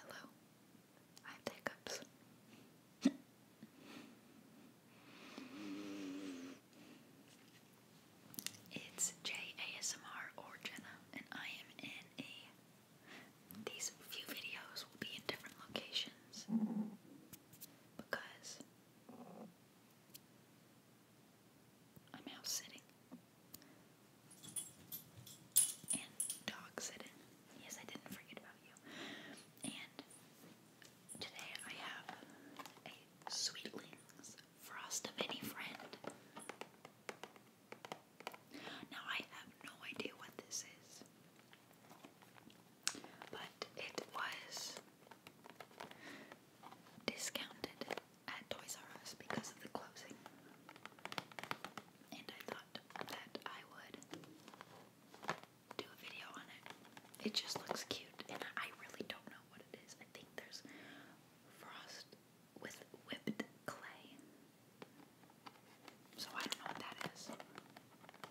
Hello. I have hiccups. it's JASMR or Jenna, and I am in a. These few videos will be in different locations because I'm house sitting. And dog sitting. Yes, I didn't forget about you. And today I have a Sweetlings Frost of Friend. Now I have no idea what this is. But it was discounted at Toys R Us because of the closing. And I thought that I would do a video on it. It just looks cute, and I really don't know what it is. I think there's frost with whipped clay. So I don't know what that is.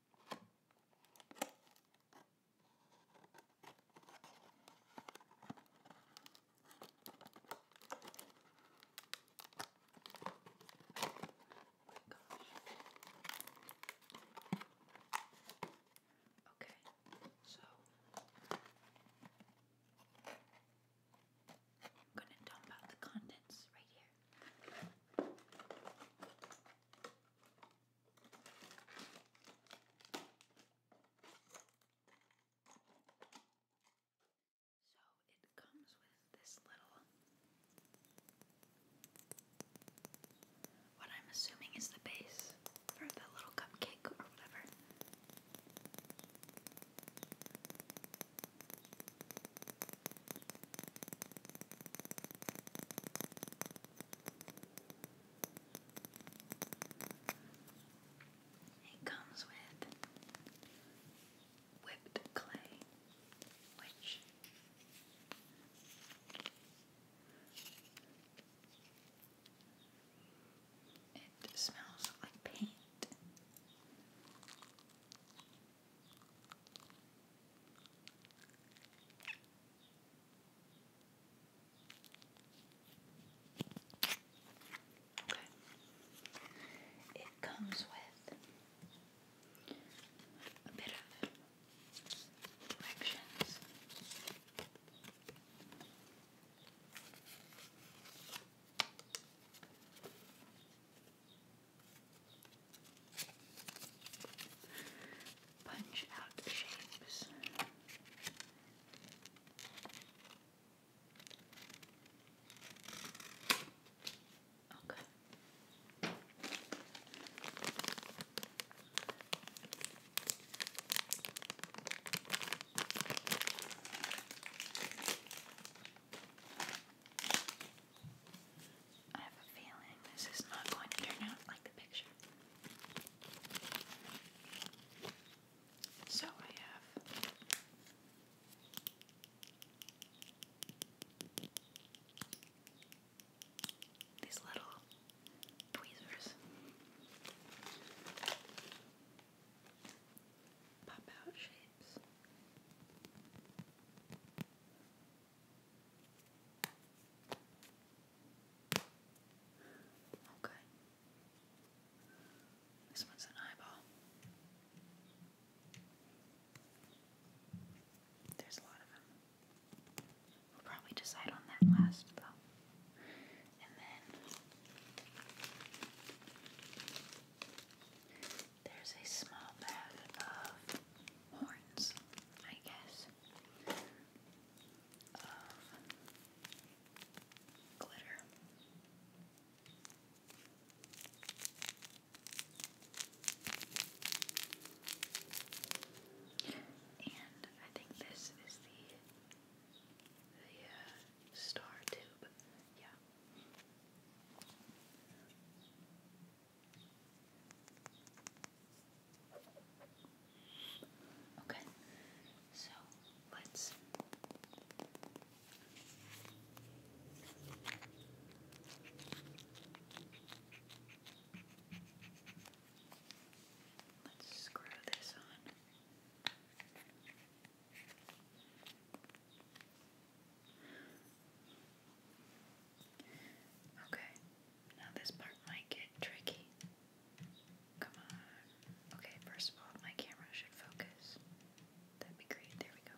Oh okay, so I'm going to dump out the contents right here. So it comes with this little, what I'm assuming is the base for the little cupcake or whatever. It comes with whipped clay, which it smells like paint. It comes with a bit of directions. Punch out shapes. Okay. I have a feeling this is not going to turn out like the picture. So I have these little tweezers pop out shapes. Okay. Oh, this one's an eyeball. There's a lot of them. We'll probably decide on that last, though. And then there's a small bag of horns, I guess, of glitter. And I think this is the the star tube. Yeah. Okay, so let's. Let's screw this on. Okay, now this part might get tricky. Come on. Okay, first of all, my camera should focus. That'd be great. There we go.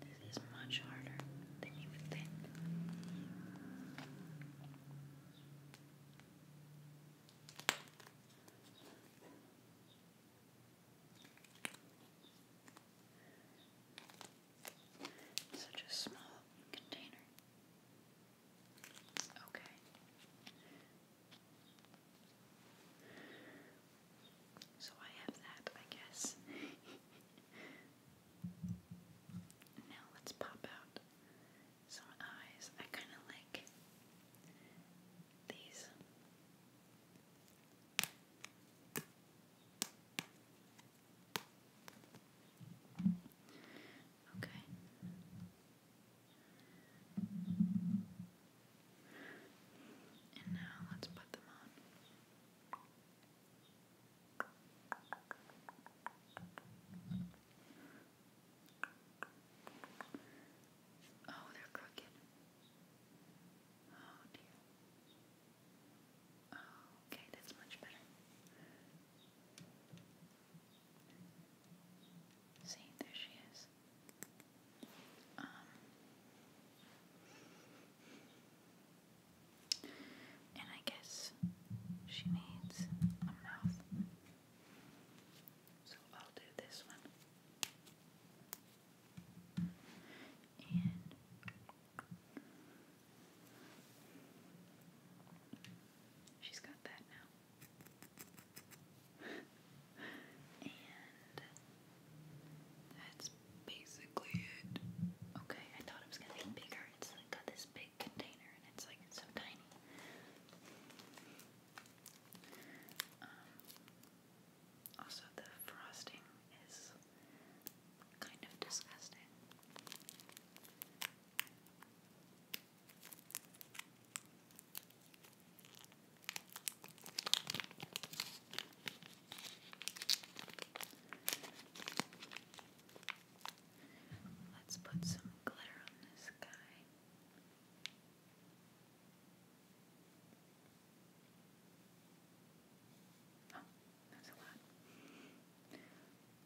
This is much harder than you would think. Such a small container. Okay. So I have that, I guess. Now let's pop out some eyes. I kind of like these. Okay. And now let's put them on. Oh, they're crooked. Oh dear. Oh, okay, that's much better. See, there she is. Um, and I guess she needs a mouth. So I'll do this one. she's got that now and that's basically it. Okay, I thought it was gonna be bigger. It's like got this big container and it's like so tiny. Um, also, the frosting is kind of disgusting. Let's put some glitter on this guy. Oh, that's a lot.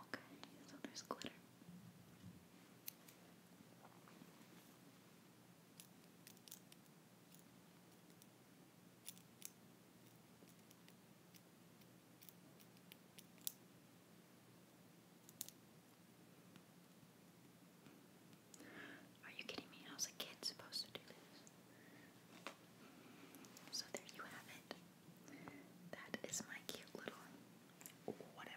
Okay, so there's glitter. Are you kidding me? How's a kid supposed to do this? So there you have it. That is my cute little whatever.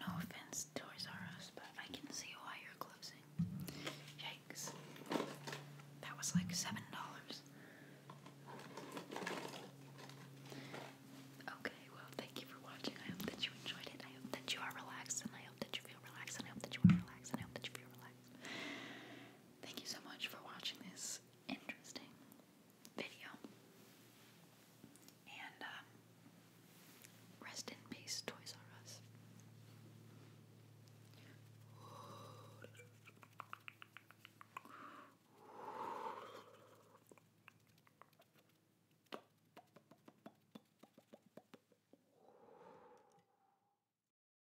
No offense, Toys R Us, but I can see why you're closing. Yikes. That was like $7. Okay, well, thank you for watching. I hope that you enjoyed it. I hope that you are relaxed, and I hope that you feel relaxed, and I hope that you are relaxed, and I hope that you feel relaxed. Thank you so much for watching this, interesting video. And um, rest in peace, Toys R Us.